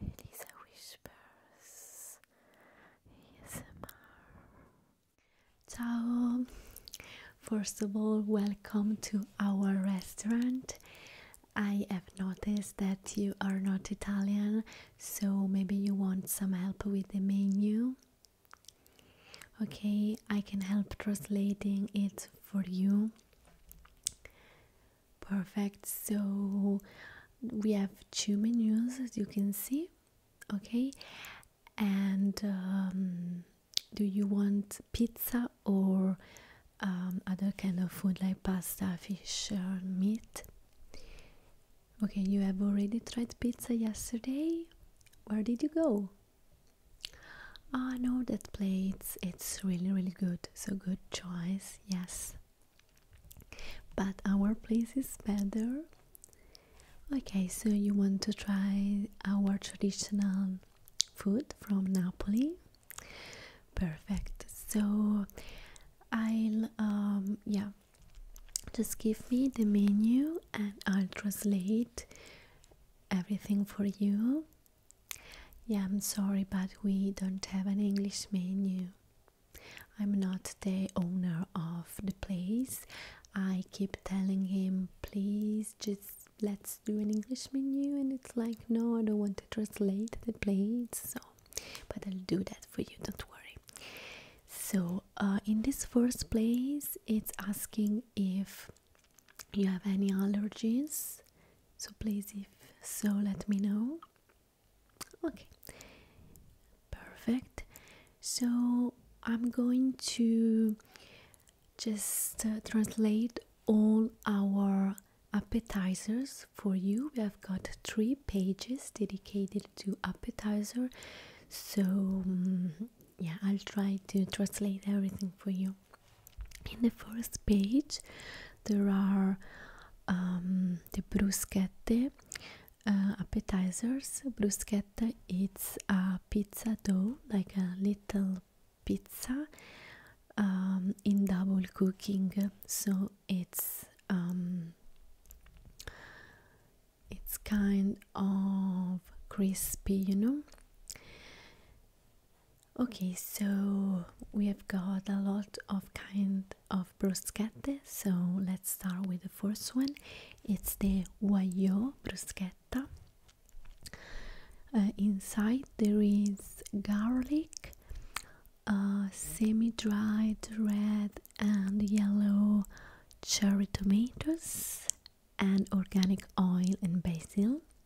Elisa Whispers ASMR Ciao! First of all, welcome to our restaurant. I have noticed that you are not Italian, so maybe you want some help with the menu. Okay, I can help translating it for you perfect so we have two menus as you can see okay and um, do you want pizza or um, other kind of food like pasta fish uh, meat okay you have already tried pizza yesterday where did you go ah, i oh, know that place it's really really good so good choice yes but our place is better. Okay, so you want to try our traditional food from Napoli? Perfect. So I'll um, yeah, just give me the menu and I'll translate everything for you yeah, I'm sorry, but we don't have an English menu. I'm not the owner of the place. I keep telling him, please just let's do an English menu, and it's like, no, I don't want to translate the plates, so but I'll do that for you, don't worry. So, uh, in this first place, it's asking if you have any allergies. So, please, if so, let me know. Okay, perfect. So I'm going to just uh, translate all our appetizers for you. We have got three pages dedicated to appetizer. So, mm, yeah, I'll try to translate everything for you in the first page there are um, the bruschette uh, appetizers bruschetta it's a pizza dough like a little pizza um, in double cooking so it's um, it's kind of crispy you know Okay, so we have got a lot of kind of bruschette, so let's start with the first one. It's the Wayo bruschetta. Uh, inside there is garlic, semi-dried red and yellow cherry tomatoes and organic oil and basil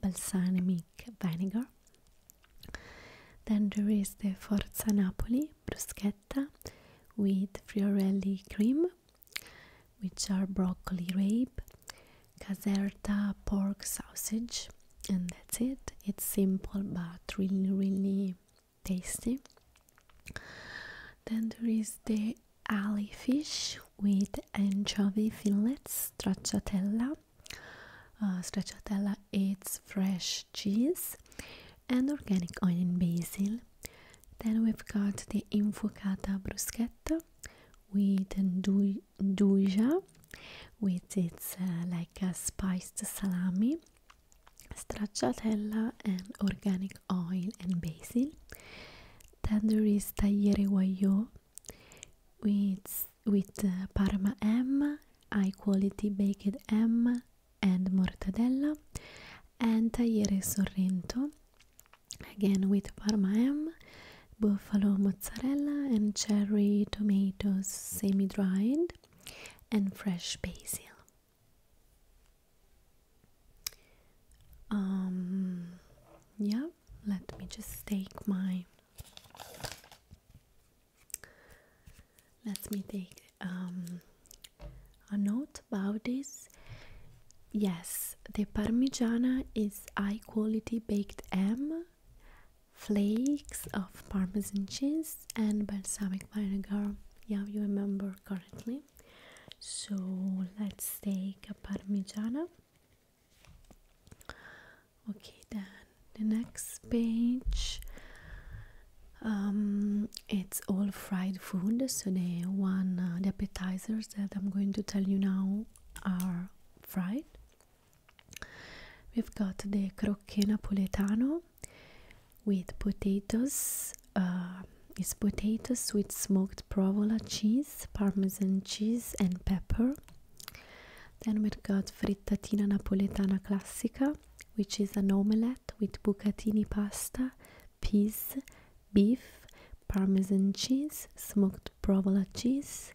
balsamic vinegar. Then there is the Forza Napoli bruschetta with friorelli cream, which are broccoli rabe, caserta pork sausage, and that's it. It's simple but really, really tasty. Then there is the Alley fish with anchovy fillets, stracciatella. Uh, stracciatella it's fresh cheese and organic onion basil. Then we've got the infuocata bruschetta with duja, with its uh, like a spiced salami, stracciatella and organic oil and basil. Then there is tagliere guaglio with, with uh, Parma ham, high quality baked ham and mortadella, and tagliere sorrento, again with Parma ham, buffalo mozzarella, and cherry tomatoes semi dried, and fresh basil. Um, yeah, let me just take my. Let me take um, a note about this. Yes, the Parmigiana is high quality baked ham, flakes of Parmesan cheese, and balsamic vinegar. Yeah, you remember correctly. So let's take a Parmigiana okay then the next page um, it's all fried food so the one uh, the appetizers that i'm going to tell you now are fried we've got the croque napoletano with potatoes uh, it's potatoes with smoked provola cheese parmesan cheese and pepper. Then we've got frittatina napoletana classica, which is an omelette with bucatini pasta, peas, beef, parmesan cheese, smoked provola cheese,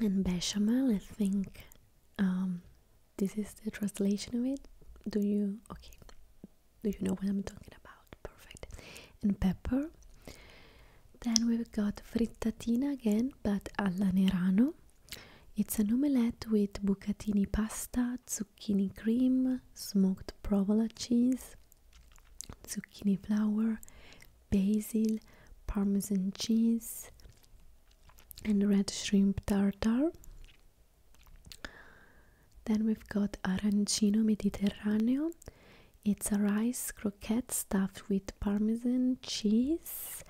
and bechamel. I think um, this is the translation of it. Do you? Okay, do you know what I'm talking about? Perfect. And pepper. Then we've got frittatina again, but alla Nerano. It's an omelette with bucatini pasta, zucchini cream, smoked provola cheese, zucchini flour, basil, parmesan cheese, and red shrimp tartar. Then we've got arancino mediterraneo. It's a rice croquette stuffed with parmesan cheese,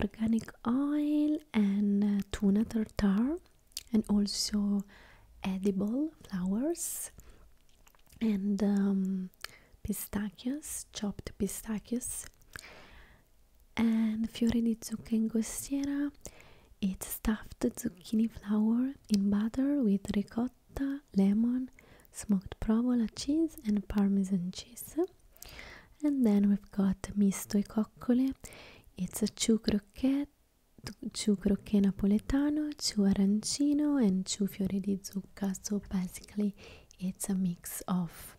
organic oil, and uh, tuna tartar, and also edible flowers and um, pistachios, chopped pistachios. And fiore di zucca ingostiera. It's stuffed zucchini flour in butter with ricotta, lemon, smoked provola cheese and parmesan cheese. And then we've got misto e It's a chew croquette, chew croquet napoletano, chew arancino and chew fiori di zucca. So basically it's a mix of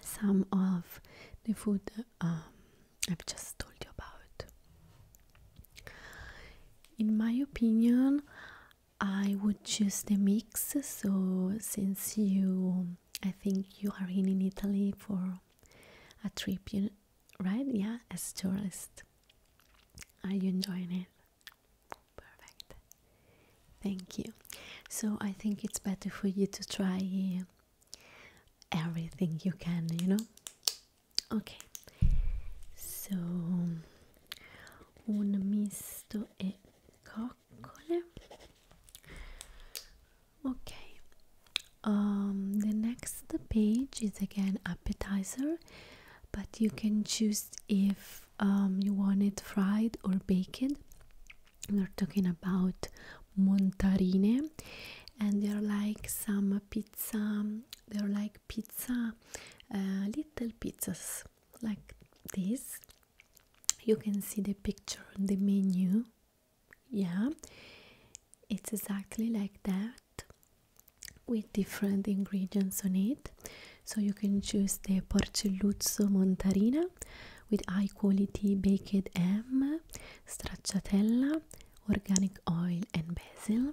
some of the food um, I've just told you about. In my opinion, I would choose the mix. So, since you, I think you are in, Italy for a trip, right? Yeah, as tourist. Are you enjoying it? Perfect. Thank you. So, I think it's better for you to try uh, everything you can, you know? ok so un misto e coccole ok um, the next page is again appetizer but you can choose if um, you want it fried or baked we're talking about montarine and they're like some pizza they're like pizza, uh, little pizzas like this. You can see the picture on the menu. Yeah, it's exactly like that with different ingredients on it. So you can choose the Porcelluzzo Montarina with high quality baked ham, stracciatella, organic oil, and basil.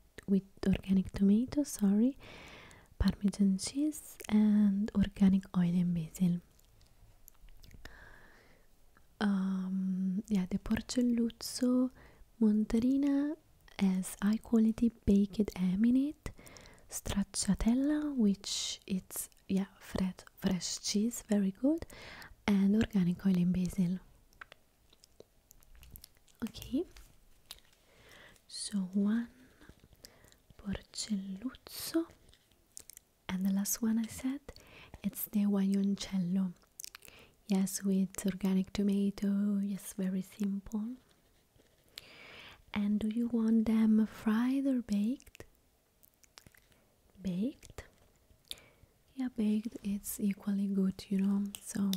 with organic tomatoes, sorry, parmesan cheese, and organic oil and basil. Um, yeah, the Porcelluzzo Montarina has high quality baked ham it, stracciatella, which it's yeah fresh fresh cheese, very good, and organic oil and basil ok so one porcelluzzo and the last one I said it's the guaioncello yes with organic tomato yes very simple and do you want them fried or baked baked yeah baked it's equally good you know so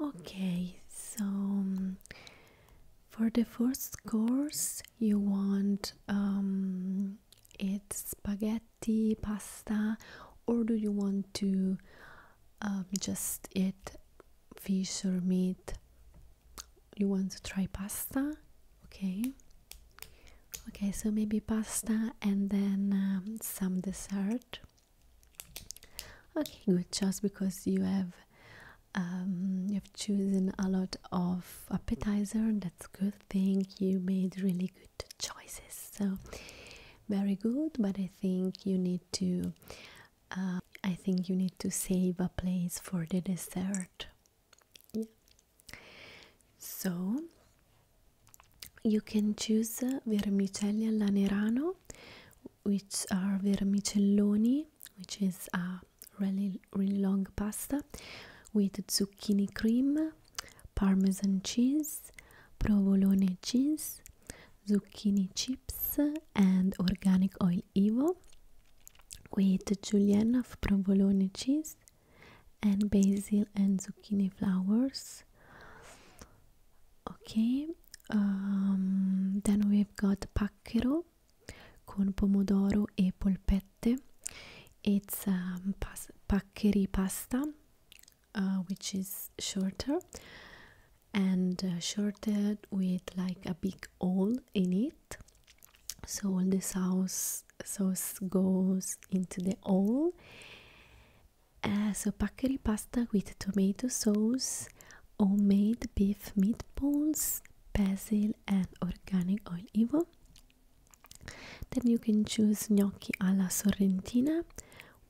okay so um, for the first course you want um it's spaghetti pasta or do you want to um, just eat fish or meat you want to try pasta okay Okay, so maybe pasta and then um, some dessert. Okay, good. Just because you have um, you have chosen a lot of appetizer, that's good thing. You made really good choices. So very good. But I think you need to. Uh, I think you need to save a place for the dessert. Yeah. So you can choose uh, vermicelli alla nerano, which are vermicelloni, which is a really, really long pasta with zucchini cream, parmesan cheese, provolone cheese, zucchini chips, and organic oil evo with julienne of provolone cheese and basil and zucchini flowers okay um, then we've got pacchero con pomodoro e polpette it's um, paccheri pasta uh, which is shorter and uh, shorted with like a big hole in it so all the sauce sauce goes into the oil. Uh, so paccheri pasta with tomato sauce, homemade beef meatballs, basil and organic olive. Then you can choose gnocchi alla sorrentina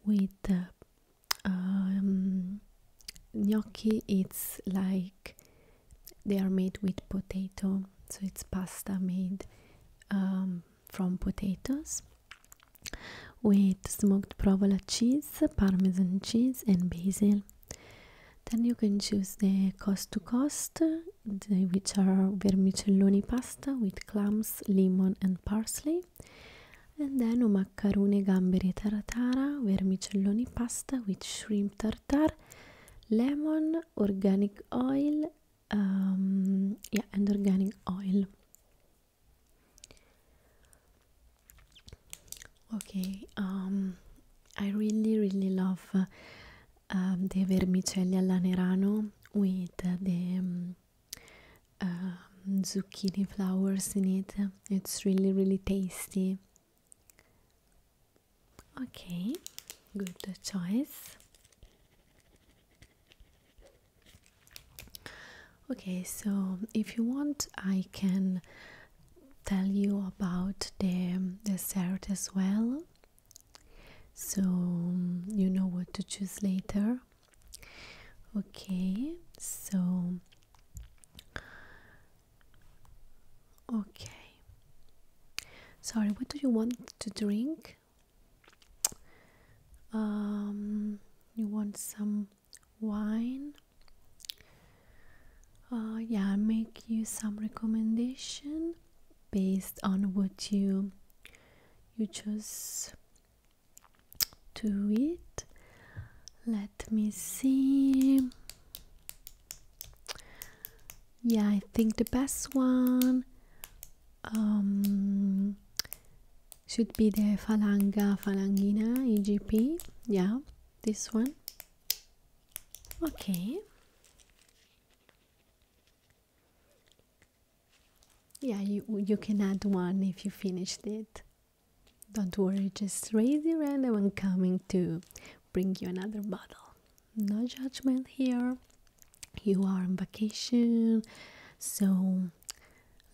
with uh, um, gnocchi. It's like they are made with potato, so it's pasta made um, from potatoes with smoked provola cheese, parmesan cheese, and basil. Then you can choose the cost to cost, which are vermicellioni pasta with clams, lemon, and parsley. And then maccarone gamberi tartara, vermicellioni pasta with shrimp tartar, lemon, organic oil, um, yeah and organic oil okay um, I really really love uh, um, the vermicelli all'anerano with the zucchini flowers in it it's really really tasty okay good choice Okay, so if you want, I can tell you about the dessert as well, so you know what to choose later. Okay, so okay, sorry, what do you want to drink? um, you want some wine uh, yeah i'll make you some recommendation based on what you you choose to eat let me see yeah i think the best one um, should be the Falanga Falangina egp yeah this one okay yeah you you can add one if you finished it don't worry just raise your hand i'm coming to bring you another bottle no judgment here. You are on vacation, so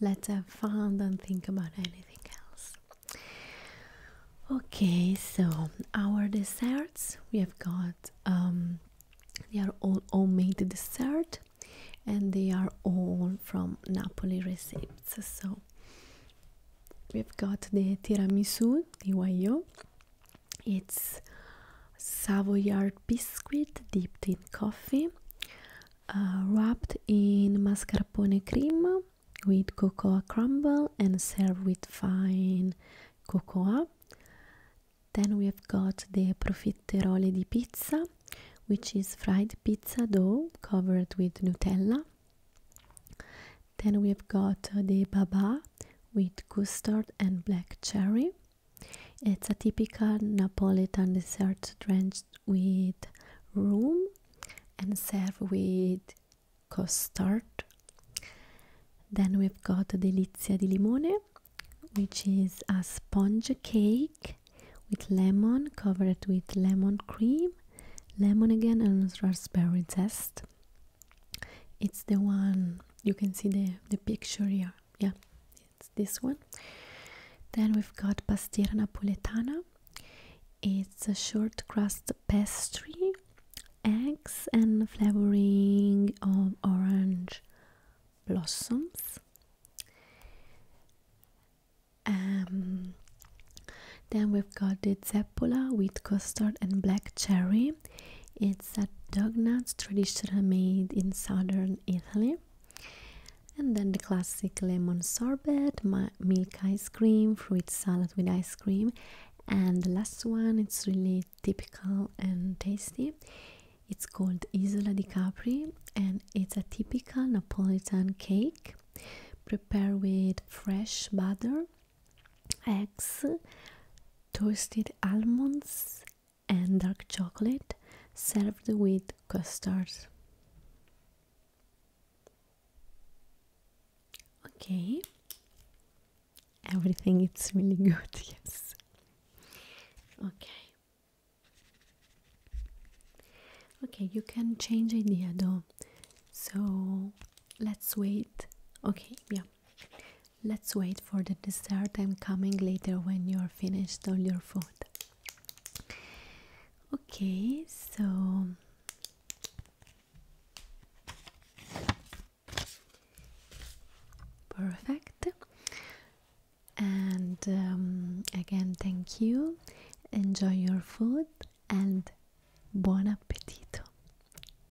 let's have fun, and think about anything else. Okay, so our desserts we have got um, they are all homemade dessert and they are all from Napoli recipes. So we've got the tiramisu the Wayo it's Savoyard biscuit dipped in coffee, uh, wrapped in mascarpone cream with cocoa crumble and served with fine cocoa. Then we have got the profiterole di pizza, which is fried pizza dough covered with Nutella. Then we have got the baba, with custard and black cherry. It's a typical Napolitan dessert drenched with rum, and served with custard. Then we've got delizia di limone, which is a sponge cake with lemon, covered with lemon cream, lemon again, and raspberry zest it's the one you can see the the picture here yeah it's this one then we've got pastiera napoletana it's a short crust pastry eggs and flavoring of orange blossoms um, then we've got the zeppola with custard and black cherry it's a doughnut traditionally made in southern Italy. And then the classic lemon sorbet, milk ice cream, fruit salad with ice cream. And the last one, it's really typical and tasty. It's called Isola di Capri and it's a typical Napolitan cake prepared with fresh butter eggs, toasted almonds, and dark chocolate served with custards. Okay, everything it's really good, yes. Okay. Okay, you can change idea though. So let's wait. Okay, yeah. Let's wait for the dessert. I'm coming later when you're finished on your food. Okay, so perfect. And um, again, thank you. Enjoy your food and buon appetito.